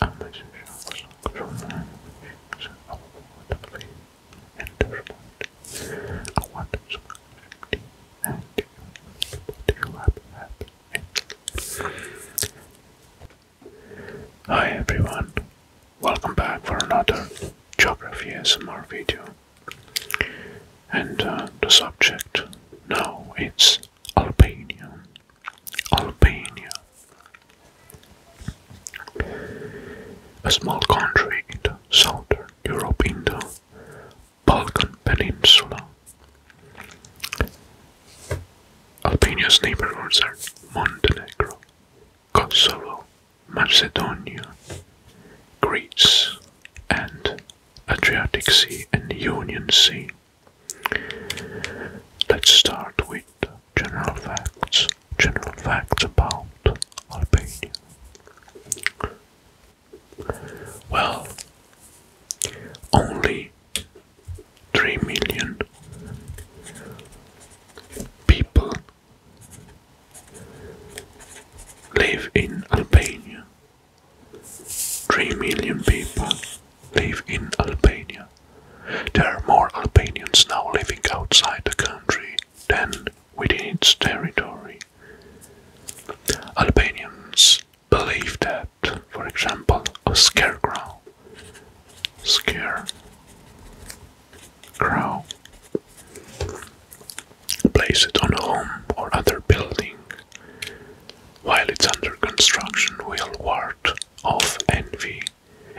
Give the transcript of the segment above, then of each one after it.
Acquisitions from language of waterplay and sport are what scarcity and develop happened. Hi everyone, welcome back for another Geography SMR video. And uh, the subject now it's Albania Albania. A small country in the southern Europe in the Balkan Peninsula. Albania's neighbors are Montenegro, Kosovo, Macedonia, Greece, and Adriatic Sea and Union Sea. Let's start with general facts. General facts about Albania. Well, only 3 million people live in Albania. 3 million people live in Albania. There are more Albanians now living outside the country than within its territory. Albanians believe that, for example, a scarecrow, scare place it on a home or other building while it's under construction, we'll ward off envy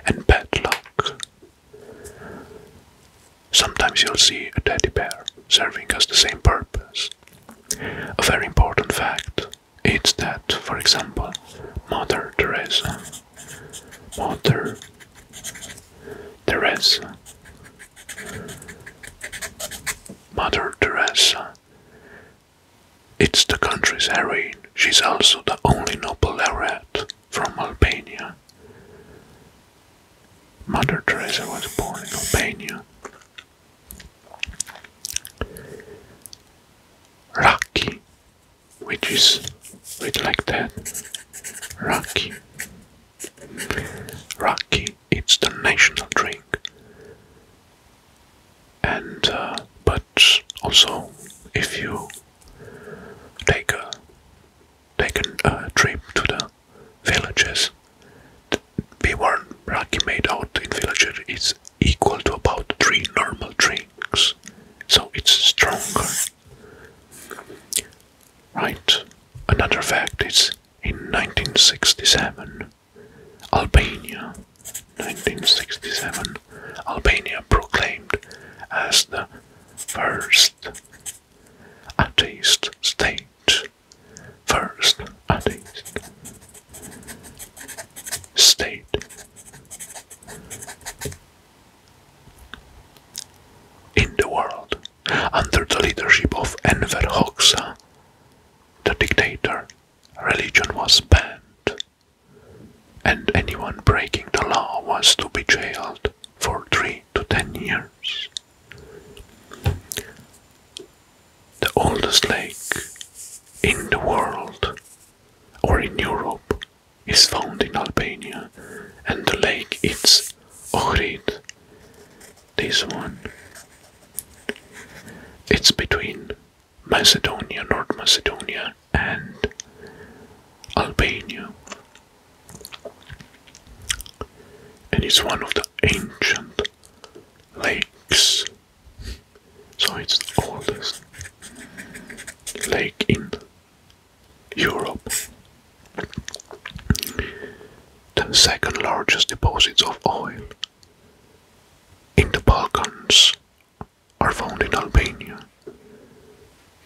and bad luck. Sometimes you'll see a teddy bear serving us the same purpose. A very important fact is that, for example, Mother Teresa, Mother Teresa, Mother Teresa it's the country's heroine. She's also the only Nobel laureate from Albania. Mother Teresa was born in Albania. Rocky, which is written like that. Rocky, Rocky it's the national drink. And uh, but also, if you take a take a uh, trip to the villages, be warned, raki made out in villages is equal to about three normal drinks, so it's stronger. Right. Another fact is in 1967 Albania, 1967. Albania proclaimed as the first atheist state. First atheist state. In the world, under the leadership of Enver Hoxha, the dictator Religion was banned, and anyone breaking the law was to be jailed for three to ten years. The oldest lake in the world or in Europe is found in Albania, and the lake is Ohrid this one. It's between Macedonia, North Macedonia, and Albania. And it's one of the ancient lakes. So it's the oldest lake in Europe. The second largest deposits of oil in the Balkans are found in Albania.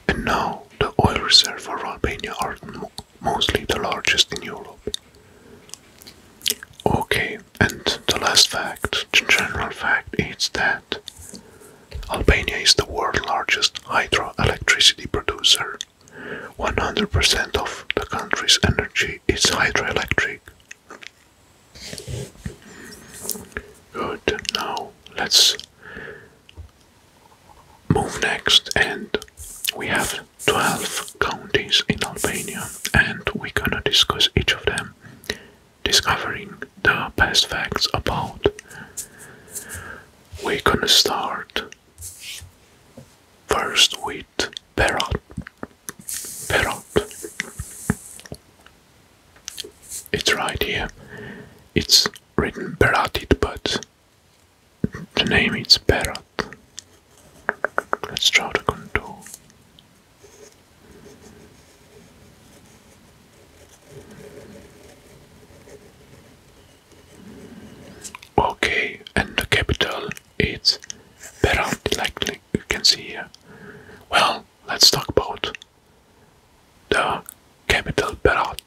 And now the oil reserves for Albania are mostly the largest in Europe. Okay, and the last fact, the general fact is that Albania is the world's largest hydroelectricity producer. 100% of the country's energy is hydroelectric. Good, now let's move next and we have 12 counties in Albania and we're gonna discuss each of them, discovering the past facts about. We're gonna start first with Parrot, parrot, It's right here. It's written Beratit, but the name is Berat. Let's try the contour. Okay, and the capital it's better, like you can see here. Well, let's talk about the capital Berat.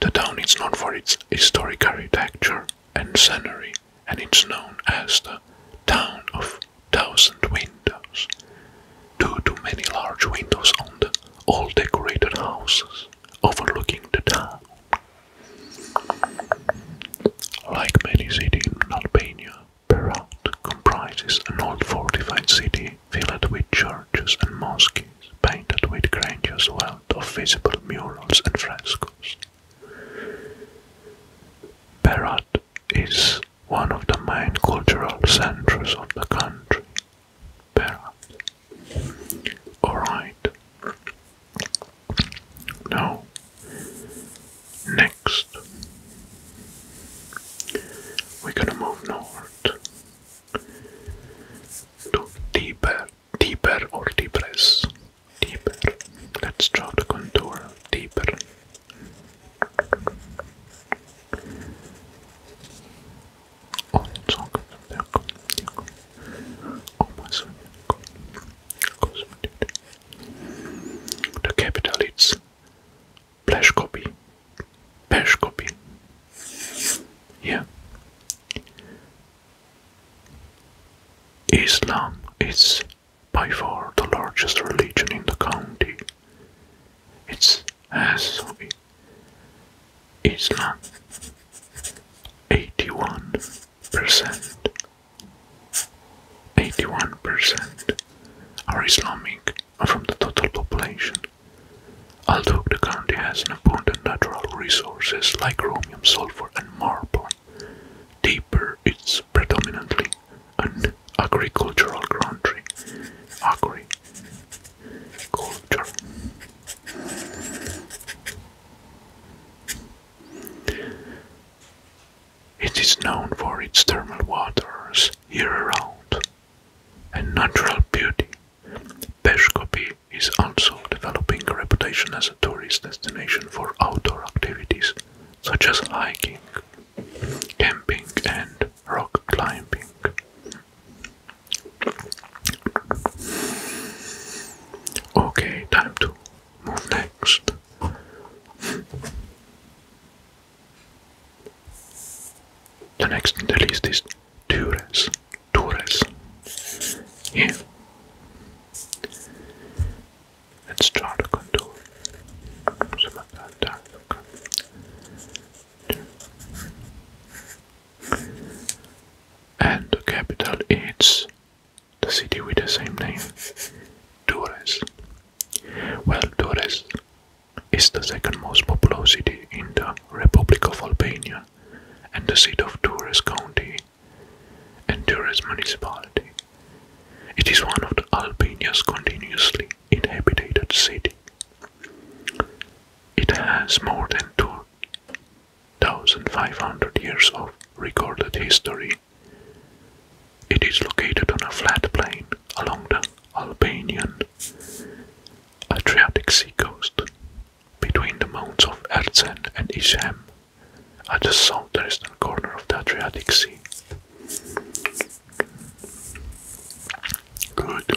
The town is known for its historic architecture and scenery, and it's known as the town of thousand windows, due to many large windows on the all decorated houses overlooking the town. Like many cities in Albania, Berat comprises an old fortified city filled with churches and mosques, painted with grandiose wealth of visible murals and frescoes. Berat is one of the main cultural centers of the country. Alright, now, next, we're gonna move north to deeper, deeper or deepest, deeper. Let's draw the contour deeper almost The capital is Pleshkopi. Pleshkopi. Yeah. Islam is by far the largest religion in the county. It's as Islam eighty one percent, eighty-one percent are Islamic from the total population. Although the country has an abundant natural resources like chromium, sulfur, and marble, deeper it's predominantly an agricultural country. Agriculture. It is known for its thermal waters year-round and natural beauty. Peshkopi is also developing a reputation as a tourist destination for outdoor activities such as hiking, camping and rock climbing. Okay, time to move next. The next in the list is Tures. Tures. Yeah. Let's draw the contour. Some of that and the capital is the city with the same name, Torres. Well, Torres is the second most populous city in the Republic of Albania and the seat of Torres County and Torres Municipality. It is one of the Albania's continuously inhabited cities. It has more than two 1,500 years of recorded history. It is located on a flat plain along the Albanian Adriatic Sea coast, between the mountains of Erzen and Isham, at the southwestern corner of the Adriatic Sea. Good.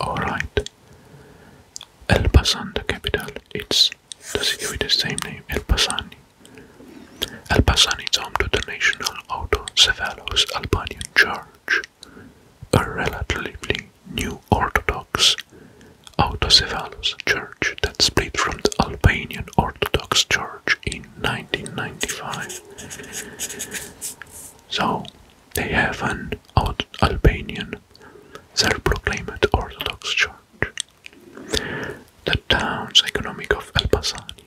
Alright. El the capital, it's the city with the same name, El Pasani. El Pasani is home to the National Autocephalous Albanian Church, a relatively new Orthodox Autocephalous Church that split from the Albanian Orthodox Church in 1995. So, they have an Albanian self-proclaimed Orthodox Church. The town's economic of Elbasani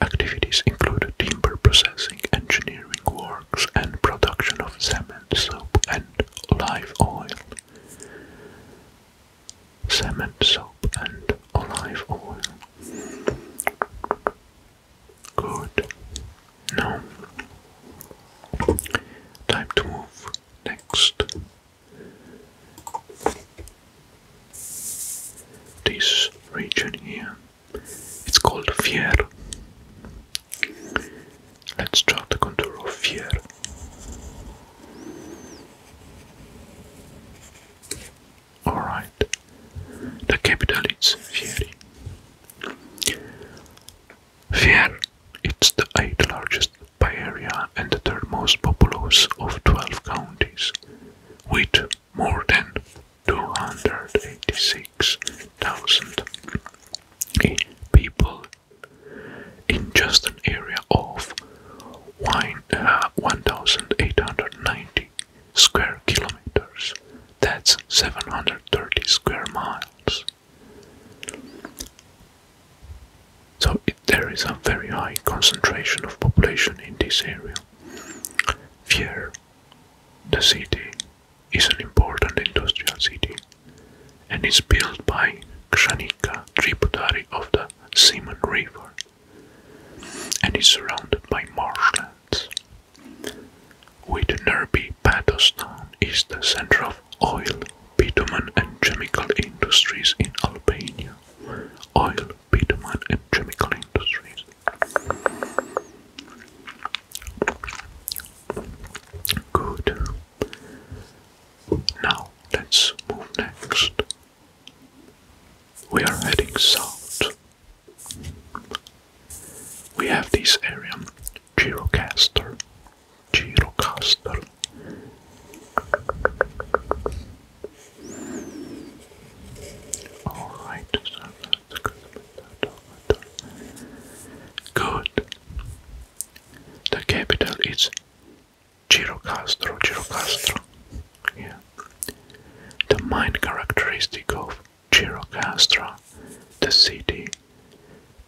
activities include timber processing, engineering works, and production of cement, soap, and live oil. Cement, soap, and olive oil. Good. Now, time to move next. This region here, it's called Fier. Let's draw the contour of Fier. Alright. The capital is Fieri. Fier, it's the eighth largest by area and the third most populous of 12 counties, with more than 286,000 people in just an area of 1,890 uh, square kilometers. That's 730 square miles. So there is a very high concentration of population in this area. Here, the city is an important industrial city and is built by Kshanika tributary of the Simon River and is surrounded by marshlands. With Nerbi, Patostown is the center of oil, bitumen and chemical industries in Albania. Oil, bitumen and chemical industries. Good. Now let's move next we are heading south. We have this area, Girocaster. Girocaster. Alright, that's good. Good. The capital is Girocastro, Girocastro. The main characteristic of Chirocastra, the city,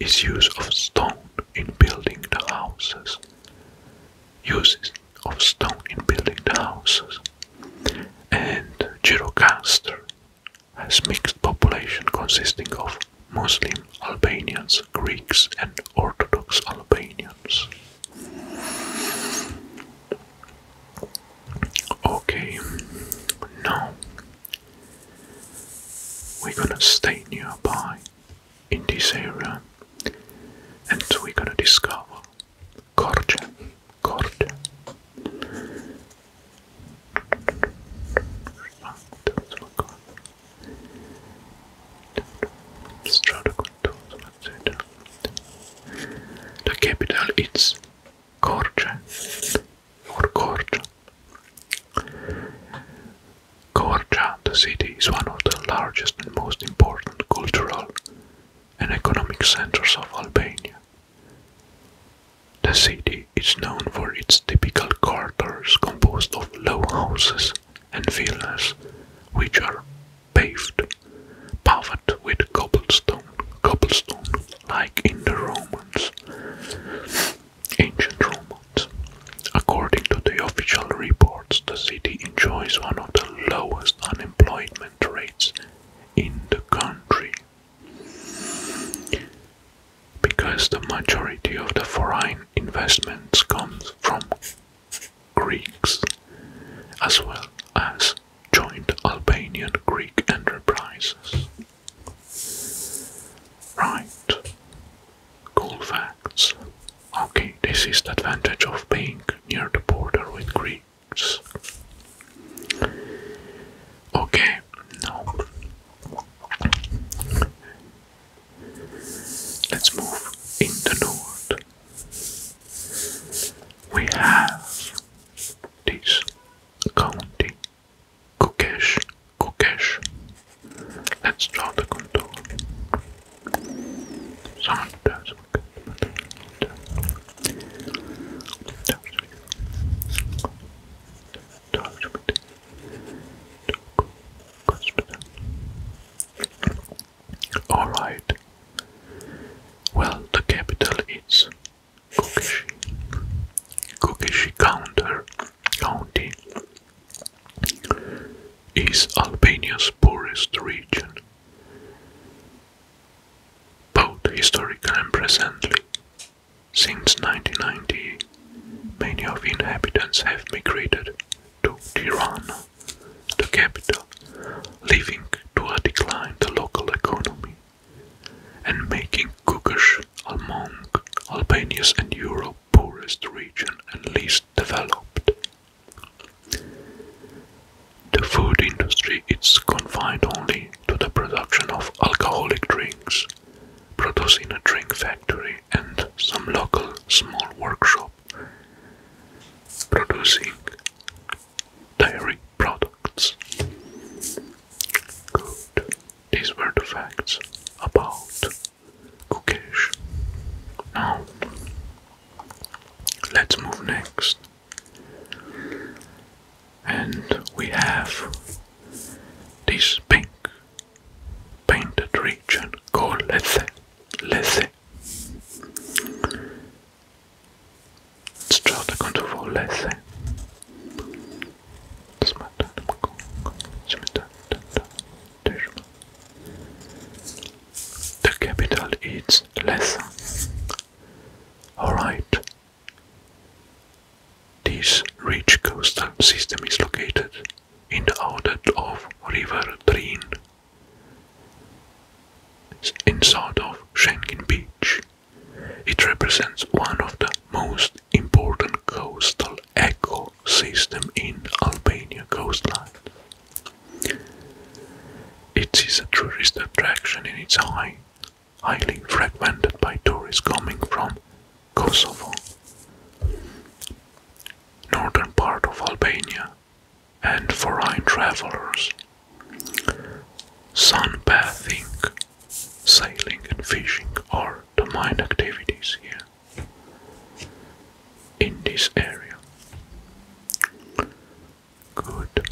is use of stone in building the houses. Uses of stone in building the houses. And Chirocastra has mixed population consisting of Muslim Albanians, Greeks and Orthodox Albanians. Okay, now we're gonna stay nearby in this area and we're gonna discover Korja. Korja. Let's the capital is Korja or Korja. Korja, the city, is one of the largest and most important cultural and economic centers of Albania. The city is known for its typical quarters composed of low houses and villas, which are paved, paved with cobblestone, cobblestone, like in the Romans, ancient Romans. According to the official reports, the city enjoys one of the lowest unemployment rates in the country. Because the majority of the foreign investments comes from Greeks, as well as joint Albanian Greek enterprises. Right, cool facts. Okay, this is the advantage of being near the border with Greeks. Okay, now let's move in the north we have this county Kukesh, Kukesh. Let's draw the contour. Alright. Well, the capital is Kokeshi. Kokeshi counter, County is Albania's poorest region, both historically and presently. Since 1990, many of the inhabitants have migrated to Tirana the capital, leading to a decline the local economy and making Kukosh among Albania's and Europe's poorest region and least developed. The food industry is confined only to the production of alcoholic drinks, producing a drink factory and some local small workshops producing dairy products. Good. These were the facts about Kukesh. Now, let's move next. And we have this pink painted region called Lethe. Lethe strada controvollese the capital is less. Alright. This rich coastal system is located in the outlet of River Dreen Inside of Shengen Beach, it represents one of the most important coastal ecosystem in Albania coastline. It is a tourist attraction in its high, highly fragmented by tourists coming from Kosovo. Northern part of Albania and for foreign travelers. Sunbathing, sailing, and fishing are the main activities here in this area. Good.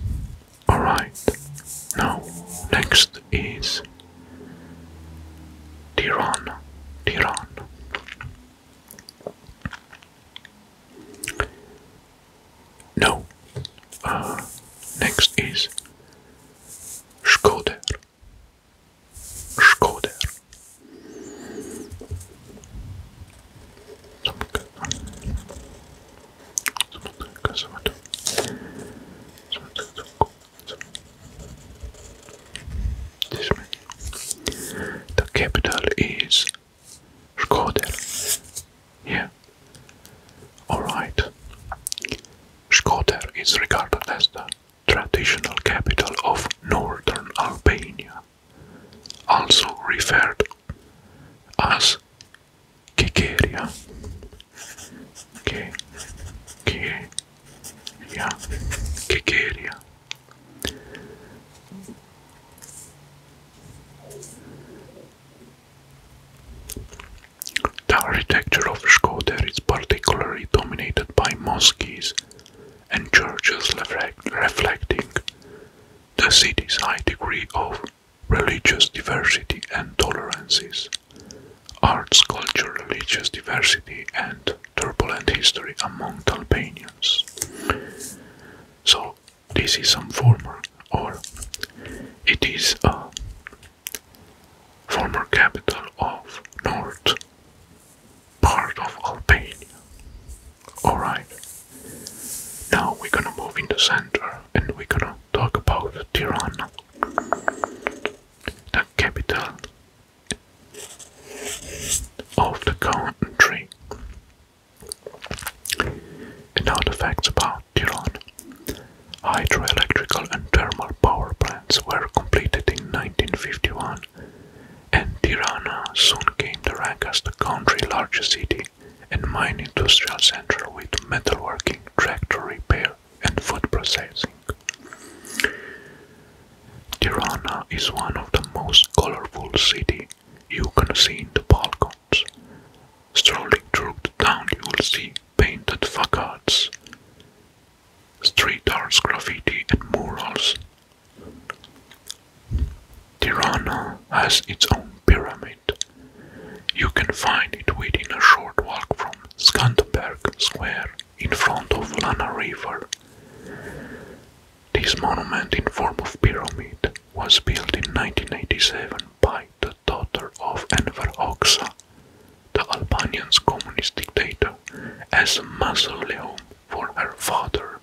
Alright. Now, next is Tirana. Tirana. No. Uh, next is Skoder. Skoder. The capital is Shkoder. Yeah. Alright. Shkoder is regarded as the traditional capital of northern Albania, also referred as Kikeria. Kikeria. Kikeria. The architecture of Shkodër is particularly dominated by mosques and churches reflecting the city's high degree of religious diversity and tolerances. Arts, culture, religious diversity, and turbulent history among Albanians. So, this is some former, or it is a former capital of north part of Albania. Alright, now we're gonna move in the center and we're gonna talk about Tirana, the capital of the country. And now the facts about Iran. Hydroelectrical and thermal power plants were completed in 1951, and Tirana soon came to rank as the country's largest city and mine industrial center with metalworking, tractor repair, and food processing. Tirana is one of the most colorful cities you can see in the Balkans. Strolling through the town you will see painted facades, street art, graffiti and murals. Tirana has its own pyramid. You can find it within a short walk from Skanderbeg Square in front of Lana River. This monument in form of pyramid was built in 1987 by the daughter of Enver Hoxha, the Albanian's communist dictator, as a mausoleum for her father.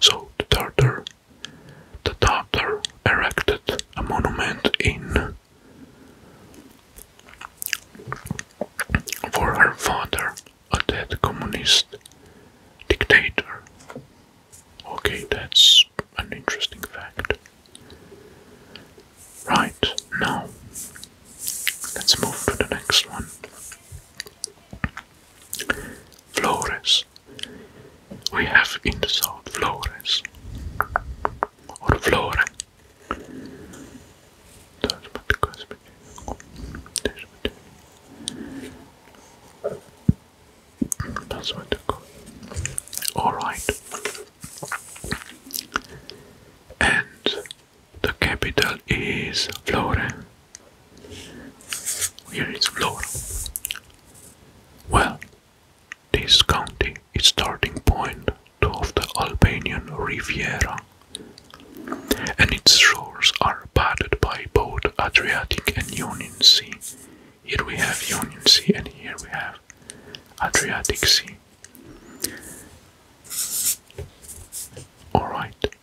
So the daughter, the daughter erected a monument in for her father, a dead communist dictator. Okay, that's an interesting fact. Right, now let's move to the next one. Flores. We have in the south Flores or Flore Touch crisp That's what to go. Alright. And the capital is Florence. Here is Florence. Well, this county its starting point of the Albanian Riviera, and its shores are bordered by both Adriatic and Ionian Sea. Here we have Ionian Sea, and here we have Adriatic Sea. Alright.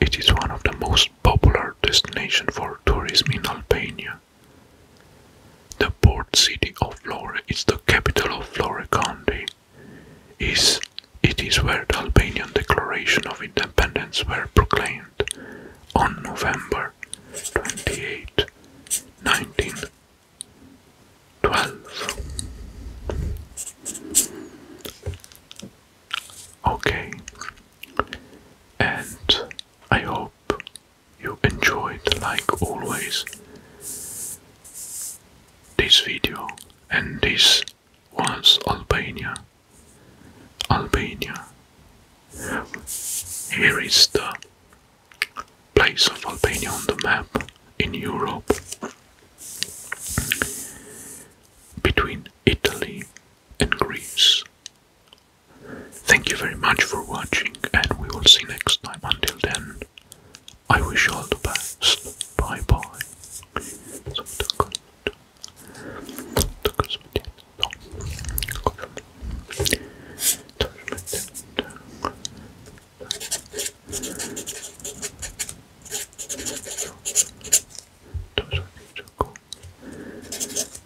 It is one of the most popular destinations for tourism in Albania. The port city of Flore is the capital of Flore County. Is it is where the Albanian Declaration of Independence were proclaimed on November 28, 1912. Okay, and I hope you enjoyed like always this video and this was Albania. Albania. Here is the place of Albania on the map in Europe between Italy and Greece. Thank you very much for watching, and we will see next time. Until then, I wish you all the best. Bye bye.